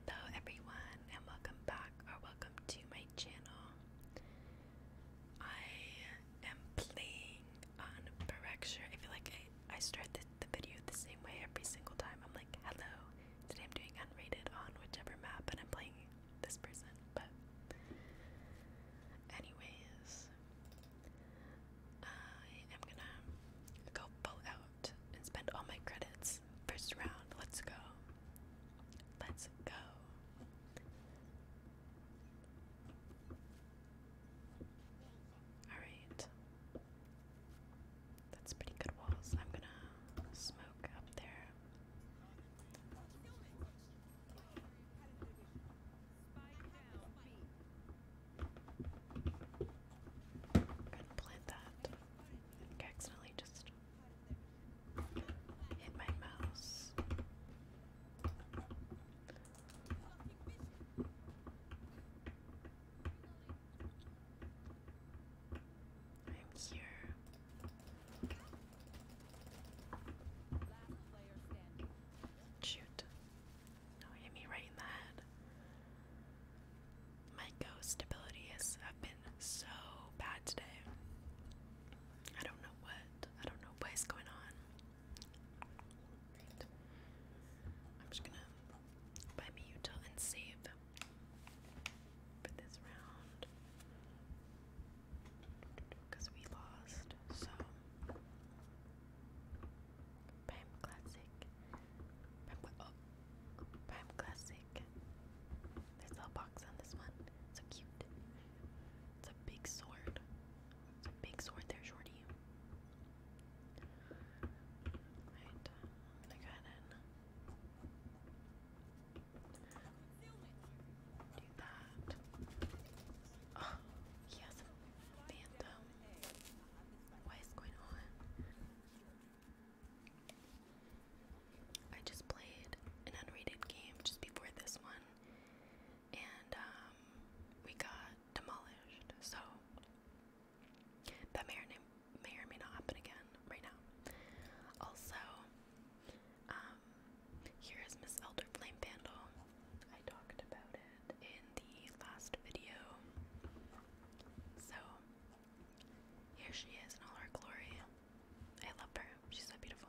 Hello everyone and welcome back or welcome to my channel. I am playing on Berkshire. I feel like I, I start the, the video the same way every single time. I'm like, hello, today I'm doing unrated on whichever map and I'm playing this person. But anyways, I am gonna go pull out and spend all my credits. First round, let's go. Let's go. Alright. That's pretty good walls. I'm gonna smoke up there. I'm gonna plant that accidentally just hit my mouse. I'm here. Shoot. No, hit me right in the head. My ghost abilities have been so bad today. I don't know what. I don't know what is going on. I'm just gonna buy me and save for this round because we lost. So, Pam Classic. Oh. Prime Classic. There's a box on this one. So cute. It's a big sword. big sword there, Shorty. Right. Um, I'm go ahead and do that. Oh, he phantom. What is going on? I just played an unrated game just before this one, and um, we got demolished. So that may or may or may not happen again right now. Also, um, here is Miss Elder Flame Vandal. I talked about it in the last video. So here she is in all her glory. I love her. She's so beautiful.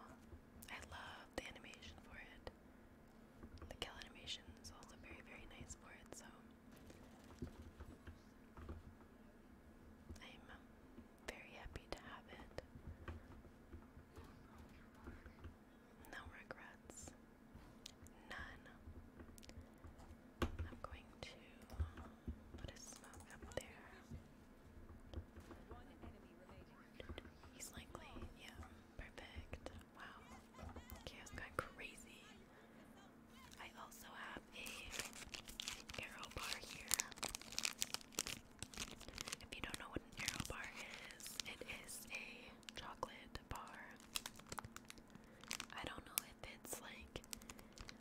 I love the animation for it. The kill animation is also very, very nice for it, so I'm um, very happy to have it. No regrets. None. I'm going to uh, put a smoke up there. He's likely, yeah, perfect. Wow, chaos gone crazy. I also have a arrow bar here. If you don't know what an arrow bar is, it is a chocolate bar I don't know if it's like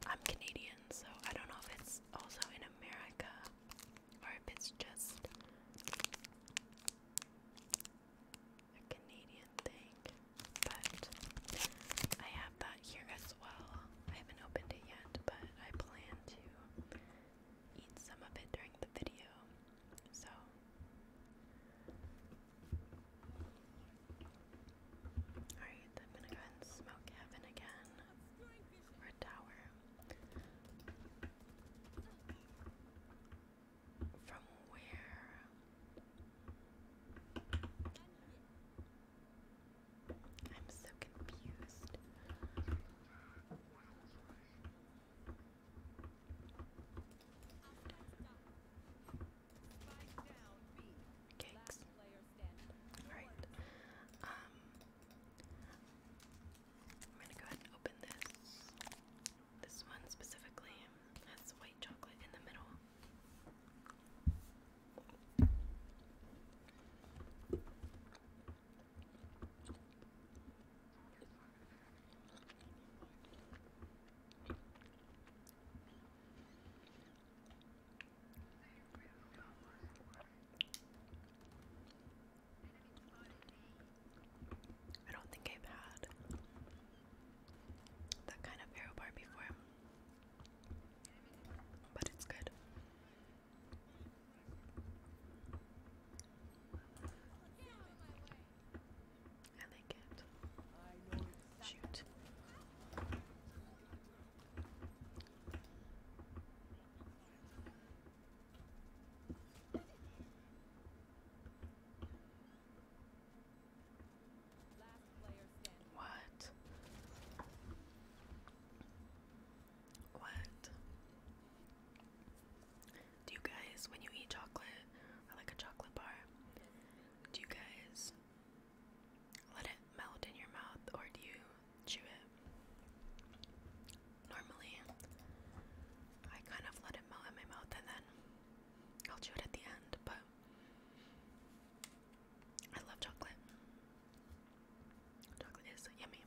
I'm Canadian, so I don't know if it's also in America or if it's just a Canadian thing. But I have that here as well. I haven't opened it yet, but I plan to eat some of it during the video. So Alright, I'm gonna go ahead and smoke heaven again. Or a tower. From where? I'm so confused. Cakes. Alright. Um, I'm gonna go ahead and open this. This one specifically has white chocolate in the middle. I don't think I've had that kind of arrow bar before, but it's good. I like it. Shoot. What? What? Do you guys, when you eat chocolate, or like a chocolate bar, do you guys let it melt in your mouth, or do you chew it? Normally, I kind of let it melt in my mouth and then I'll chew it at the end, but I love chocolate. Chocolate is yummy.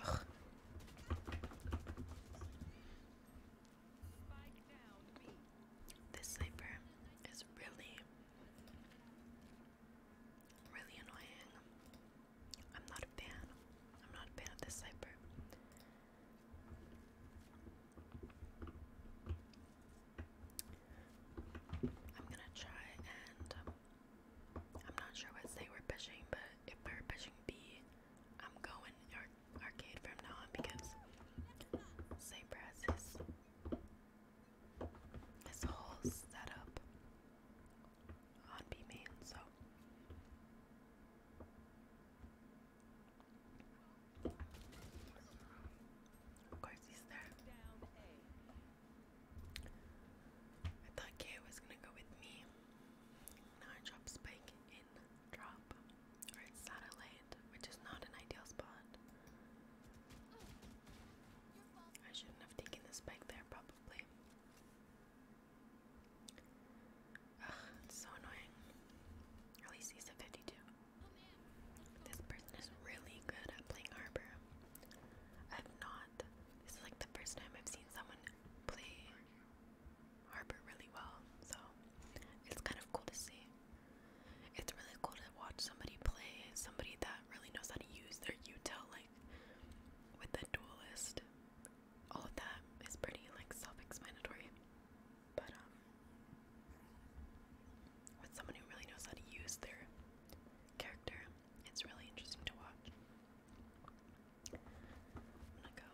Ugh. This cipher is really, really annoying. I'm not a fan. I'm not a fan of this sniper. I'm gonna try and um, I'm not sure what they were pushing, but if we are pushing B, I'm going arcade from now on because Saber has this whole setup on B-Man, so of course he's there. I thought K was gonna go with me. Now I drop Spike in drop or satellite, which is not an ideal spot. I shouldn't have taken this back there, probably. Ugh, so annoying. At least he's at 52. This person is really good at playing Arbor. I've not. This is like the first time I've seen someone play Arbor really well, so it's kind of cool to see. It's really cool to watch somebody play, somebody that really knows how to use their util, like with the duelist. All of that is pretty like self-explanatory. But um with someone who really knows how to use their character, it's really interesting to watch. I'm gonna go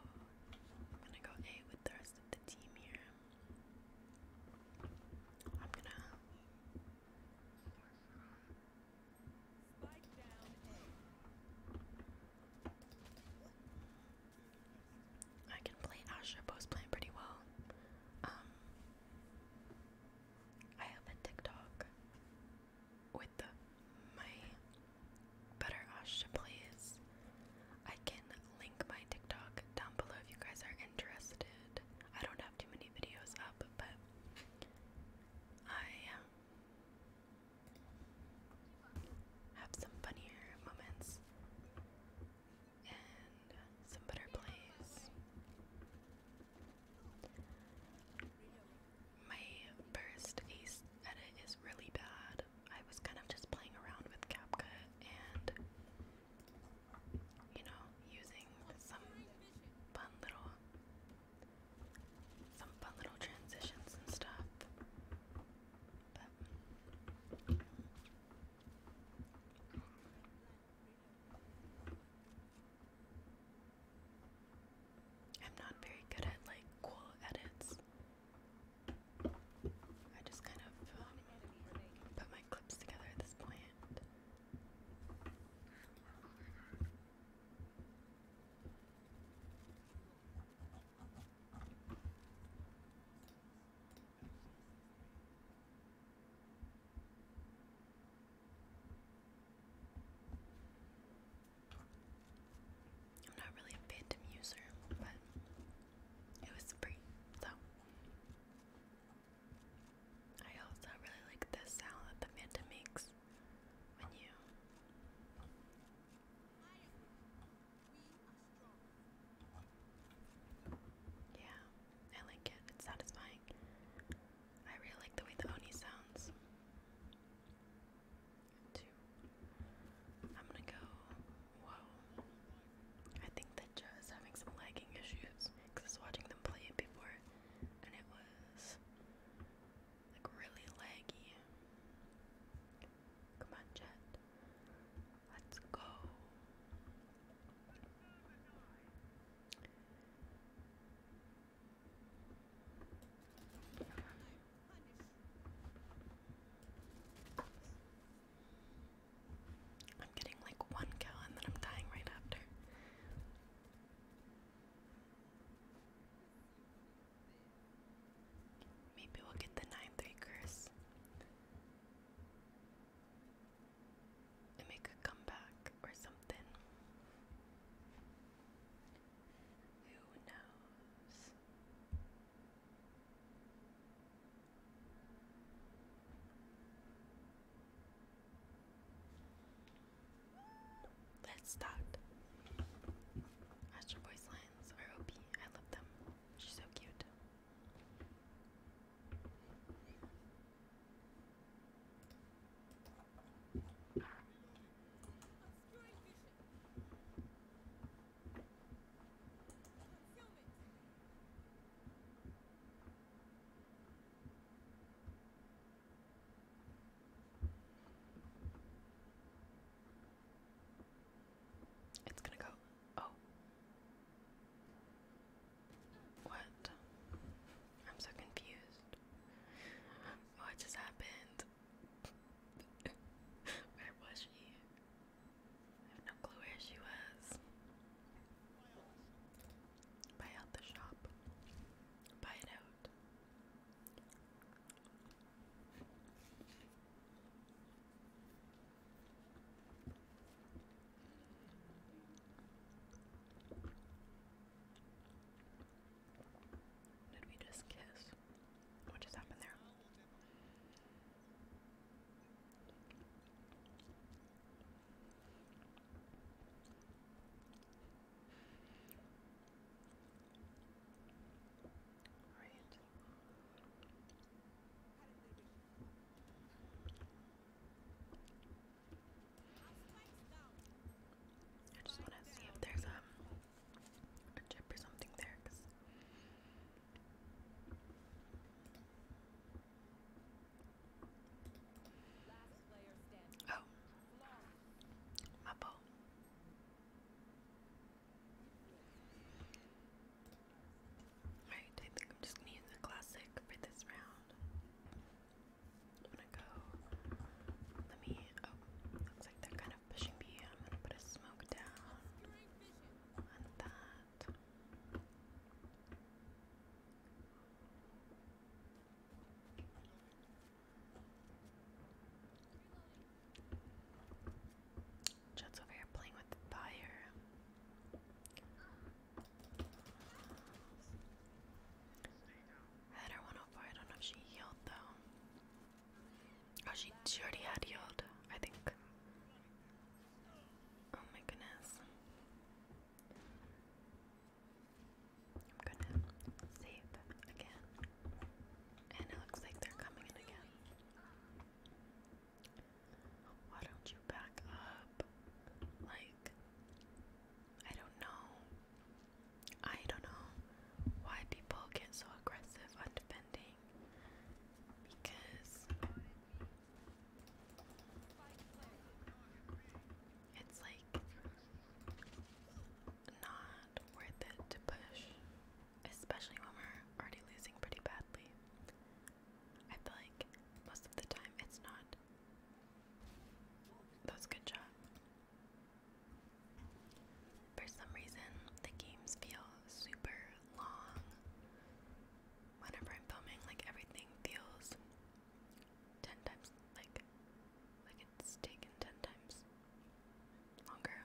I'm gonna go A with the rest of the team here. I'm gonna I can play Asher post playing pretty well. Um I have a TikTok with the, my better Asha plays. I can link my TikTok down below if you guys are interested. I don't have too many videos up, but I um, have some funnier moments and some better plays. My first edit is really bad. I was kind of just playing around with CapCut and you know, using some fun little, some fun little transitions and stuff. I'm not very good at like cool edits. I just kind of um, put clips together this point. I'm not really a phantom user, but it was free, so I also really like the sound that the Manta makes when you yeah, I like it. It's satisfying. I really like the way the Oni sounds. Too. I'm gonna go. Whoa. I think that is having some lagging issues because I was watching them play it before and it was like really laggy. Come on, chat. Let's go. I'm getting like one kill and then I'm dying right after. Maybe we'll get the 9-3 curse and make a comeback or something. Who knows? Let's start. Astro Boy's lines are OP. I love them. She's so cute. It's gonna go. Oh. What? I'm so confused. What just happened? Where was she? I have no clue where she was. Buy out the shop. Buy out. Did we just kiss? What just happened there? Right. I just want to see if there's um, a chip or something there. Oh, my bow. Alright, I think I'm just gonna use the classic for this round. I'm gonna go. Let me. Oh, looks like they're kind of pushing me. I'm gonna put a smoke down on that that. over here playing with fire. I 104. I don't know if she healed though. Oh, she, she already had healed, I think. Oh my goodness. I'm gonna save again. And it looks like they're coming in again. Why don't you back up? Like, I don't know. I don't know why people get so aggressive on defending. Because it's like not worth it to push, especially when we're already losing pretty badly. I feel like most of the time it's not. That was good shot. For some reason, the games feel super long whenever I'm filming, like everything feels ten times like like it's taken ten times longer.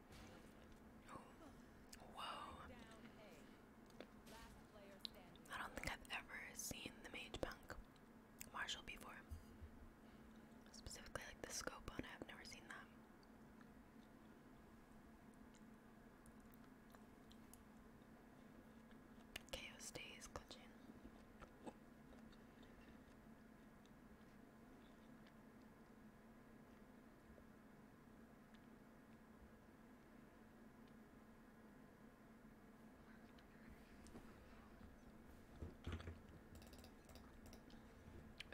Whoa. I don't think I've ever seen the Mage Punk Marshall before. Specifically, like the scope on I've never seen that. Chaos stays clutching.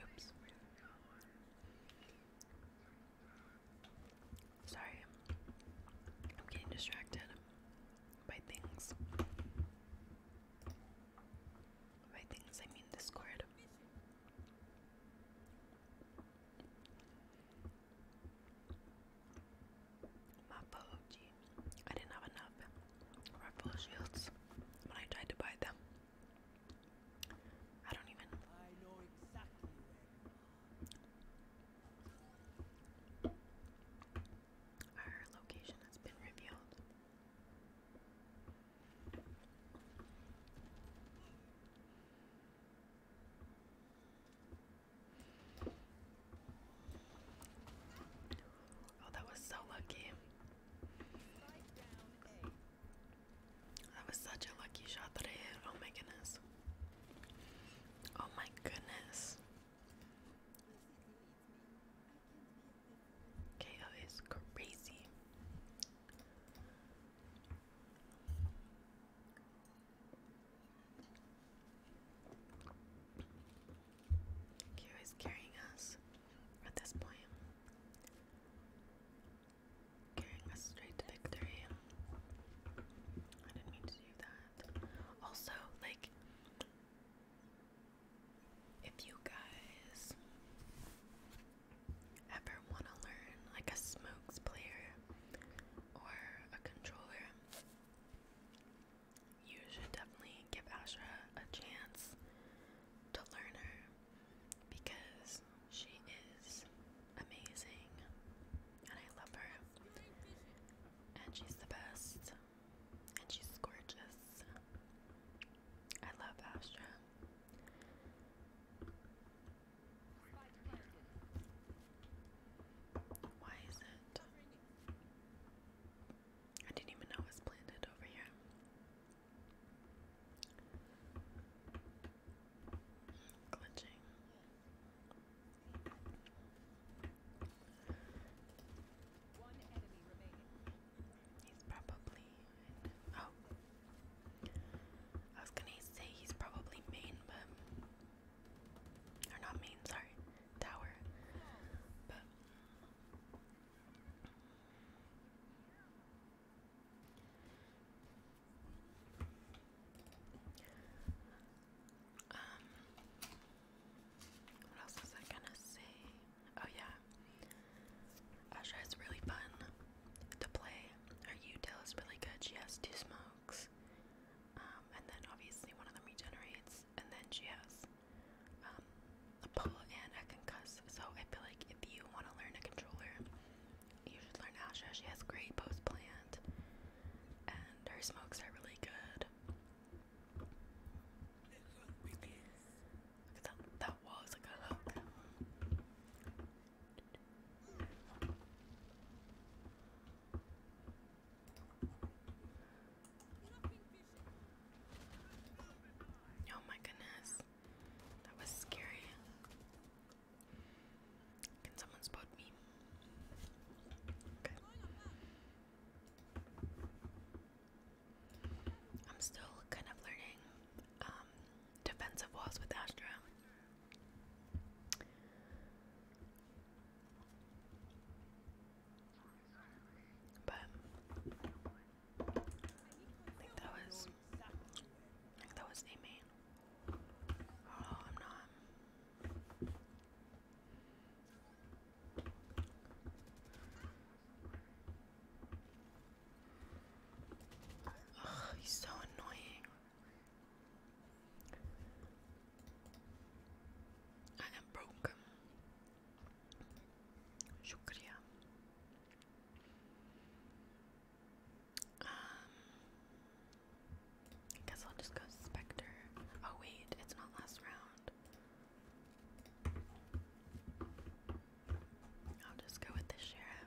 Oops. Sorry, I'm getting distracted by things. By things, I mean Discord. My apology. I didn't have enough rifle when I tried to buy them. I don't even. know exactly where Our location has been revealed. Oh, that was so lucky. That was such a lucky shot that I hit. Oh my goodness. Oh my goodness. KO is crazy. Q is carrying us at this point. Carrying us straight to victory. I didn't mean to do that. Also, like, if you guys ever want to learn, like a smokes player or a controller, you should definitely give Ashra a chance to learn her because she is amazing and I love her. And she's the best. And she's gorgeous. I love Astra. Why is it? I didn't even know it was planted over here. Glitching. He's probably. Oh, I was gonna say he's probably main, but or not main, sorry, tower. But um, what else was I gonna say? Oh yeah, Asha is really fun the play. Her util is really good. She has two smokes, um, and then obviously one of them regenerates, and then she has um, a pull and a concuss. So I feel like if you want to learn a controller, you should learn Asha. She has great post plant, and her smokes are really good. Look at that, that wall is like a hook. Oh my goodness. That was scary. Can someone spot me? Okay. I'm still kind of learning um defensive walls with Astra. But I think that was I think that was a Oh, I'm not. Ugh, he's so annoying. I am broke. Shukriya. Um, I guess I'll just go Spectre. Oh wait, it's not last round. I'll just go with the Sheriff.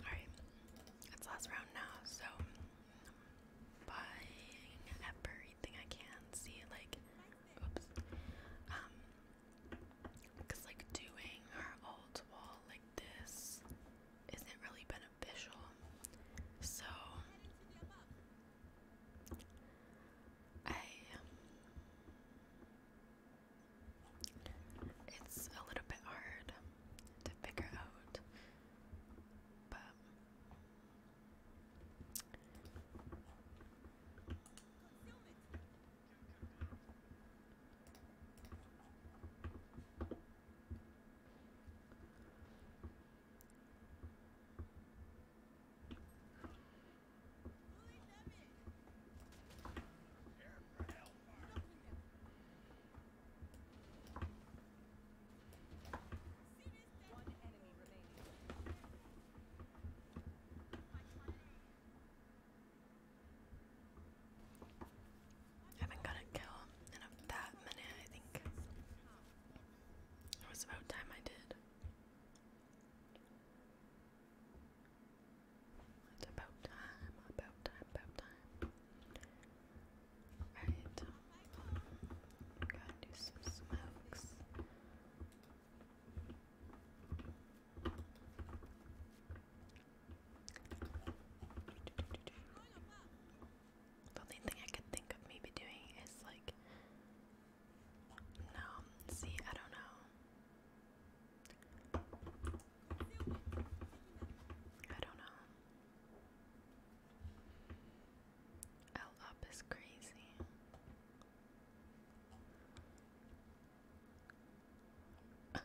Alright, it's last round now, so I'm buying everything I can see, like, oops, um, because like doing our old wall like this isn't really beneficial unofficial. So I it's a little bit hard to figure out, but haven't got a kill in that minute, I think. It was about time I did. It's about time, about time, about time. Alright, gotta smokes. The only thing I could think of maybe doing is like. No, see, I don't know. I don't know. L up is crazy.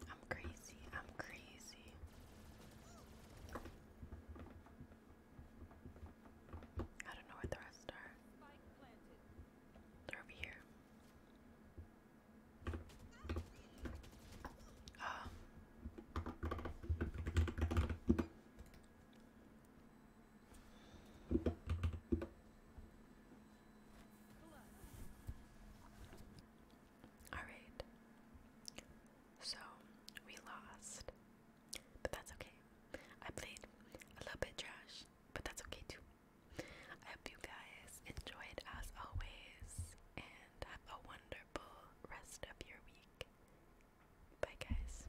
I'm crazy. I'm crazy. I don't know where the rest are. They're over here. Oh. Alright. So, we lost. But that's okay. I played a little bit trash, but that's okay too. I hope you guys enjoyed as always and have a wonderful rest of your week. Bye, guys.